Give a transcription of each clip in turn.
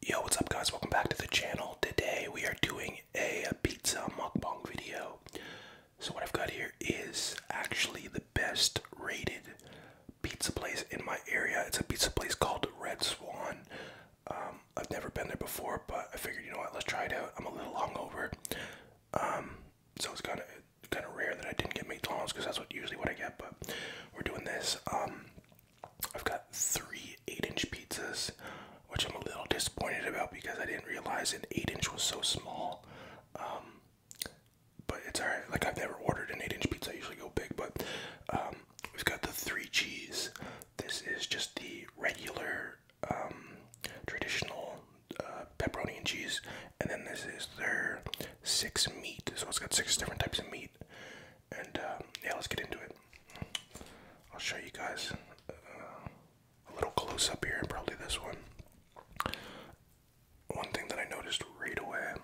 Yo, what's up guys? Welcome back to the channel. Today we are doing a pizza mukbang video. So what I've got here is actually the best rated pizza place in my area. It's a pizza place called Red Swan. Um, I've never been there before, but I figured, you know what, let's try it out. I'm a little hungover. Um, so it's kind of kind of rare that I didn't get McDonald's because that's what usually what I get, but we're doing this. Um, I've got three eight inch pizzas, which I'm a little disappointed about because I didn't realize an eight inch was so small. Um, but it's alright. Like I've never ordered an eight inch pizza. I usually go big, but um, we've got the three cheese. This is just the regular, um, traditional uh, pepperoni and cheese, and then this is their six meat. So it's got six different types of meat and uh, yeah, let's get into it. I'll show you guys uh, a little close up here, and probably this one. One thing that I noticed right away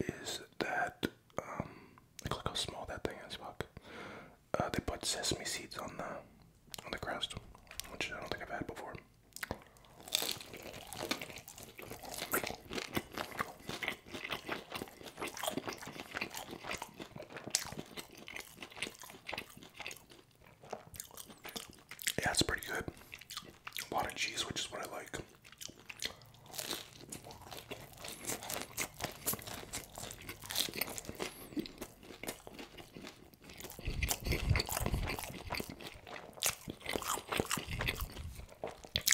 is that um, look how small that thing is. Fuck. Uh, they put sesame seeds on the on the crust, which I don't think I've had before. That's pretty good. A lot of cheese, which is what I like.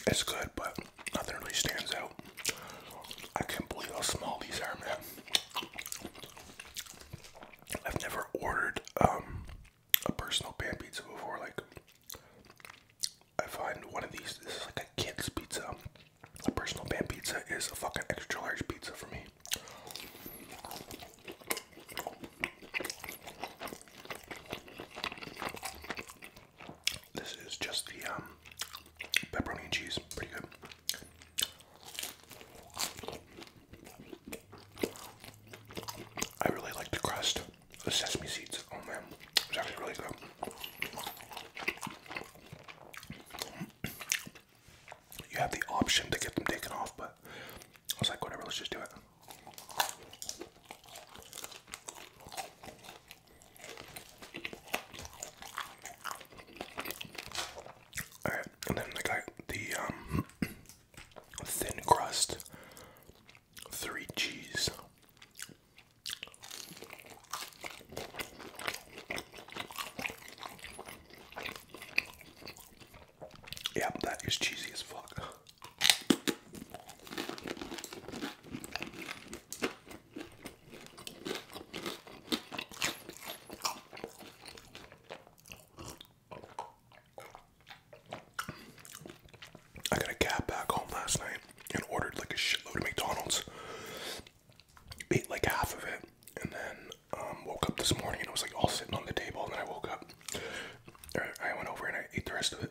It's good, but nothing really stands out. I can't believe how small these are, man. I've never ordered um, a personal pan pizza before. Like, I find one of these. This is like a kid's pizza. A personal pan pizza is a fucking extra large pizza for me. This is just the um, pepperoni and cheese. Pretty good. I really like the crust. The sesame seeds. Oh man, it's actually really good. You have the option to get them taken off, but I was like, whatever, let's just do it. All right, and then I the um, thin crust, three cheese. Yeah, that is cheesy as fuck. I got a cab back home last night and ordered like a shitload of McDonald's. Ate like half of it, and then um, woke up this morning and it was like all sitting on the table, and then I woke up. I went over and I ate the rest of it.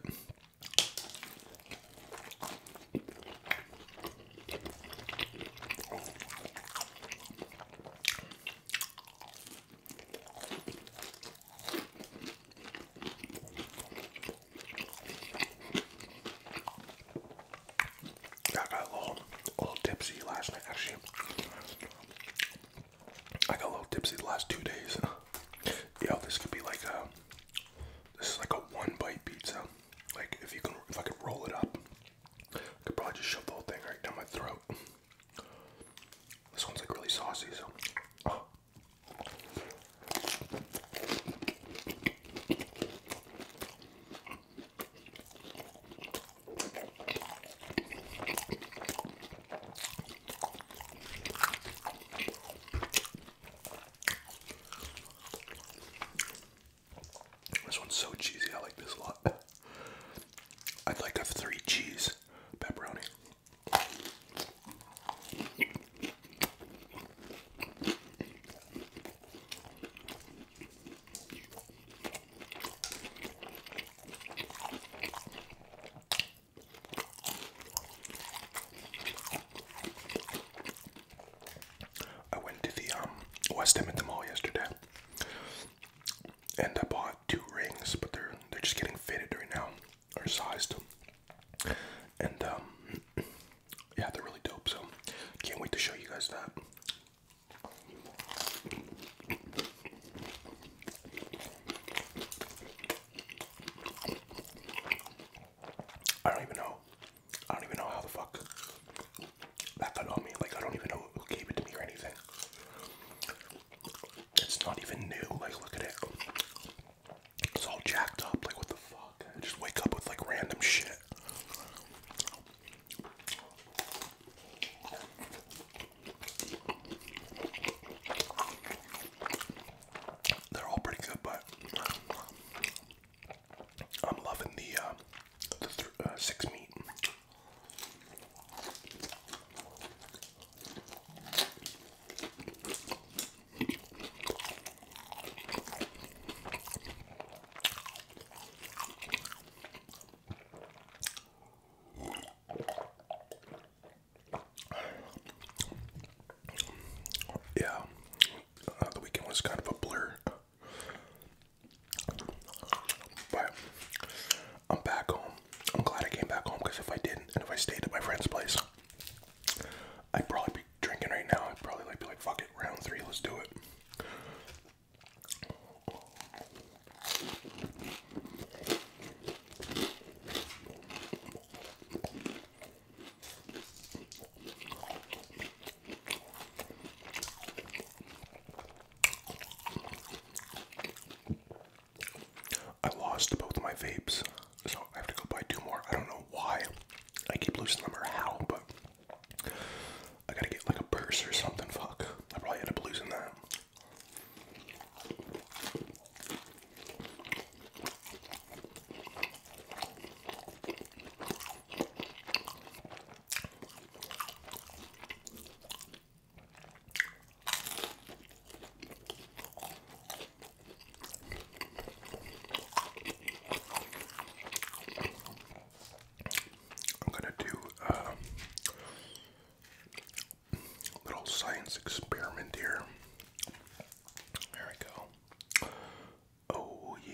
I got a little, little tipsy last night, actually. I got a little tipsy the last two days. Yeah, this could be like a this is like a one bite pizza. Like if you can, if I could roll it up, I could probably just shove the whole thing right down my throat. This one's like really saucy, so. This one's so cheesy, I like this a lot. I'd like a three cheese pepperoni. I went to the um, West Ham at the mall yesterday, and I bought two rings, but they're they're just getting fitted right now or sized, and um, yeah, they're really dope. So can't wait to show you guys that. I don't even know. I don't even know how the fuck that got on me. Like I don't even know who gave it to me or anything. It's not even new. Like look at it. It's all jacked up. Like what the fuck? just wake up with like random shit. They're all pretty good, but I'm loving the uh, uh, six meat. Yeah, uh, the weekend was kind of a blur, but I'm back home. I'm glad I came back home because if I didn't and if I stayed at my friend's place, I'd probably be drinking right now, I'd probably like be like, fuck it, round three, let's do it. I lost both my vapes, so I have to go buy two more. I don't know why. I keep losing them or how, but I gotta get like a purse or something. Fuck, I probably end up losing that. I'm gonna do a um, little science experiment here. There we go. Oh, yeah.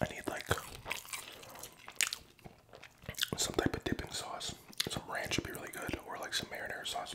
I need like some type of dipping sauce. Some ranch would be really good, or like some marinara sauce.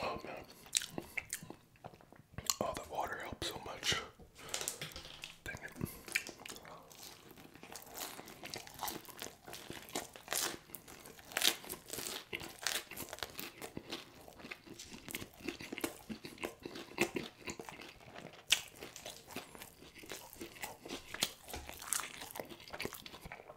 Oh man. Oh, the water helps so much. Dang it.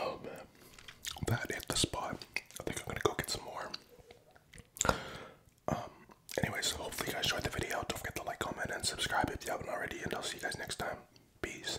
Oh man, that hit the spot. I think I'm gonna go get some more. Um, anyways, hopefully you guys enjoyed the video. Don't forget to like, comment, and subscribe if you haven't already, and I'll see you guys next time. Peace.